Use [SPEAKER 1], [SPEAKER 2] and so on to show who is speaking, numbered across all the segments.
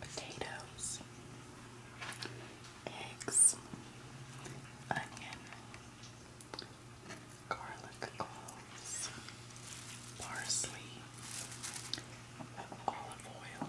[SPEAKER 1] Potatoes, eggs, onion, garlic cloves, parsley, olive oil,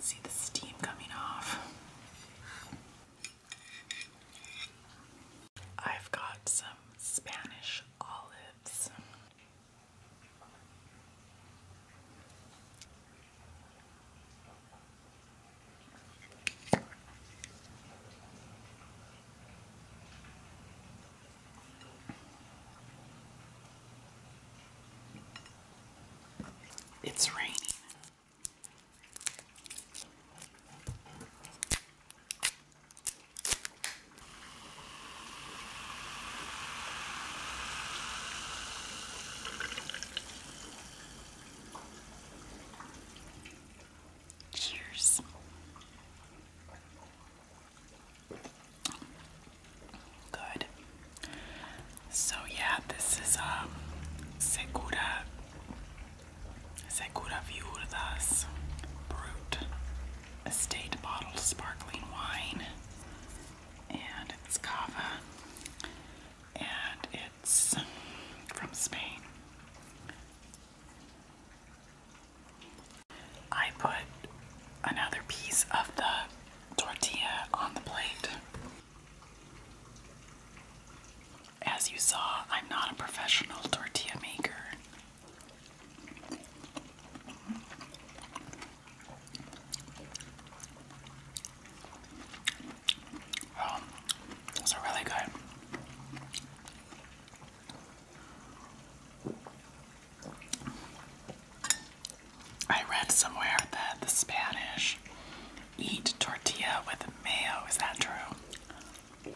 [SPEAKER 1] see the steam coming off. I've got some Spanish olives. It's raining. Cheers. Good. So yeah, this is a um, Segura Segura Viudas Brut Estate Bottled Sparkling Wine. And it's cava. And it's from Spain. I put another piece of the tortilla on the plate. As you saw, I'm not a professional tortilla maker. Well, um, those are really good. I read somewhere that the Spanish eat tortilla with mayo. Is that true?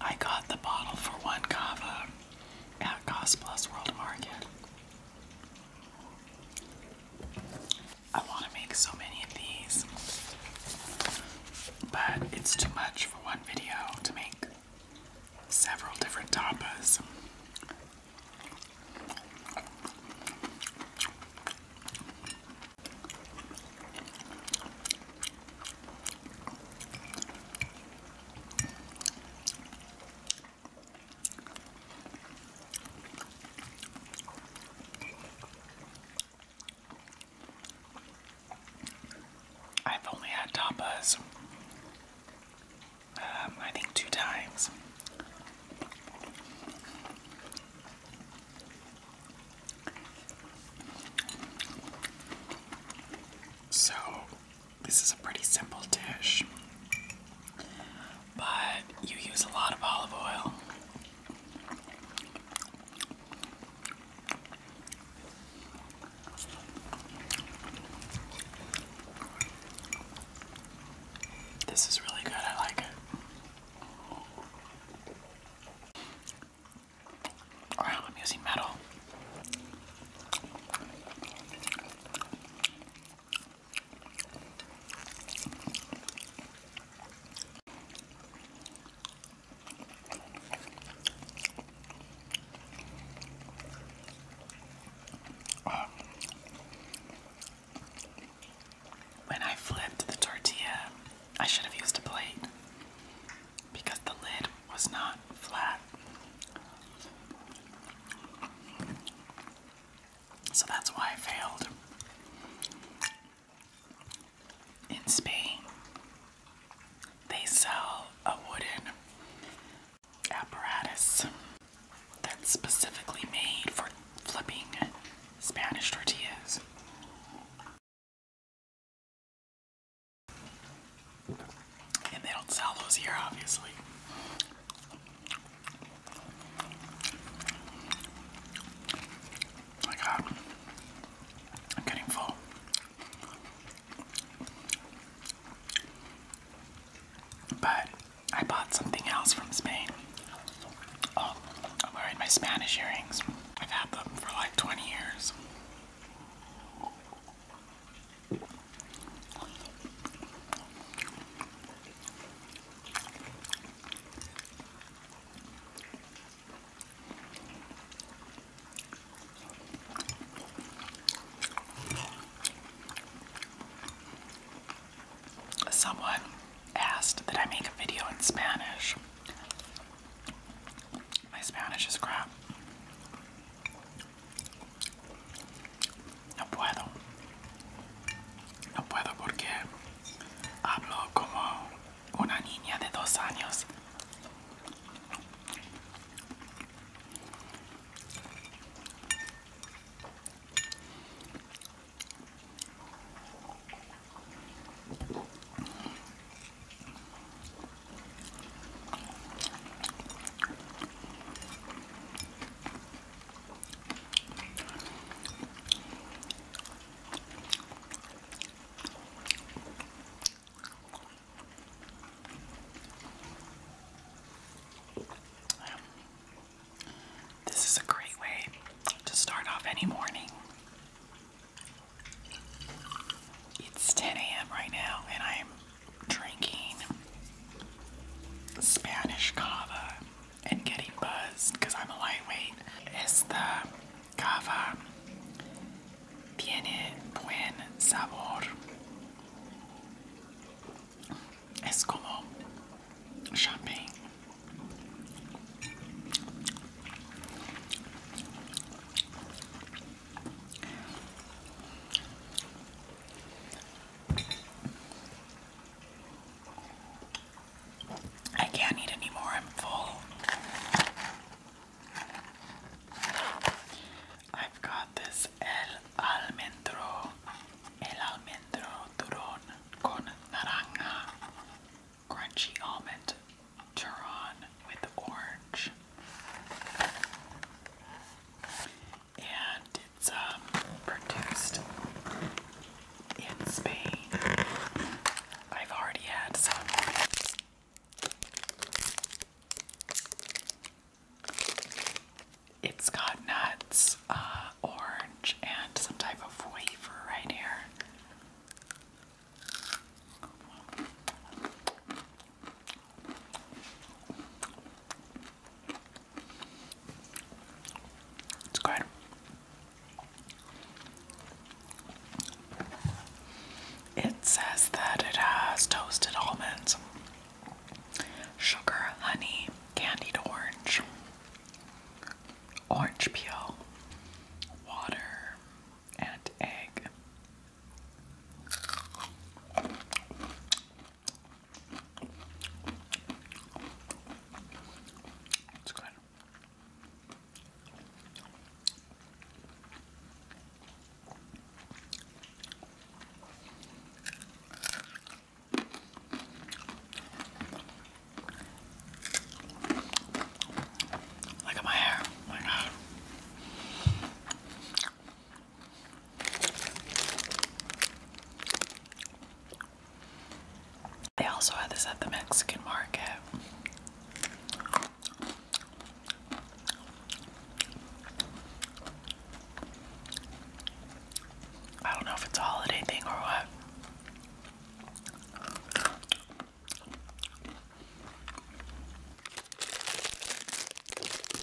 [SPEAKER 1] I got the bottle for one kava at Cost World Market. I want to make so many of these, but it's too much for one video to make several different tapas. I've only had tapas, um, I think, two times. So this is a pretty simple dish, but you use a lot of olive oil. This is really good, I like it. Alright, I'm using metal. When I flipped the tortilla, I should have used a plate because the lid was not flat. So that's why I failed. In Spain, they sell a wooden apparatus that's specifically made for flipping Spanish tortillas. And they don't sell those here, obviously. Oh my god. I'm getting full. But I bought something else from Spain. Oh, I'm wearing my Spanish earrings. I've had them for like 20 years. Someone asked that I make a video in Spanish. My Spanish is crap. No puedo. No puedo porque hablo como una niña de dos años. This is a great way to start off any morning. It's 10 a.m. right now, and I'm drinking Spanish cava and getting buzzed because I'm a lightweight is the cava tiene buen sabor. Es como champagne. I can't eat anymore, I'm full. I've got this El Almendro, El Almendro Turon con naranja, crunchy almond turon with orange and it's um, produced in Spain. I've already had some. It's got nuts, uh, orange, and some type of wafer right here. It's good. It says that it has toasted almonds, sugar, honey, candied orange, orange peel, water, and egg. It's good. Look at my hair. Oh my God. They also had this at the Mexican market. I don't know if it's a holiday thing or what.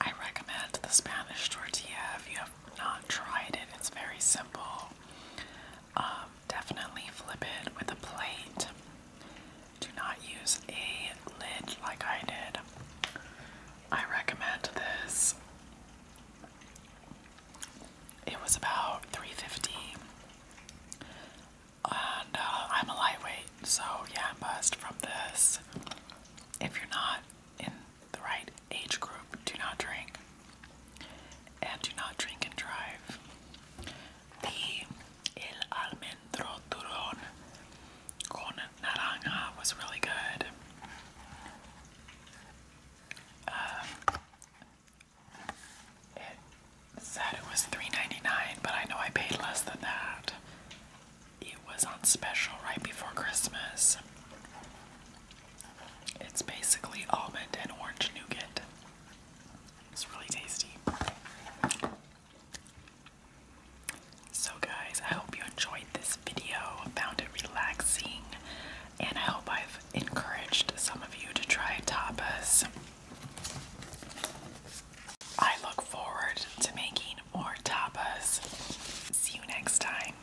[SPEAKER 1] I recommend the Spanish tortilla if you have not tried it. It's very simple. Um, definitely flip it with a plate. Do not use a lid like I did. I recommend this. It was about 350 and uh, I'm a lightweight, so yeah, I'm buzzed from this. If you're not, in the right age group do not drink and do not drink and drive. The El Almendro Turon con Naranja was really good. Um, it said it was 3 but I know I paid less than that. It was on special right before Christmas. It's basically almond and orange nougat. It's really tasty. So, guys, I hope you enjoyed this video, found it relaxing, and I hope I've encouraged some of you to try tapas. I look forward to making more tapas. See you next time.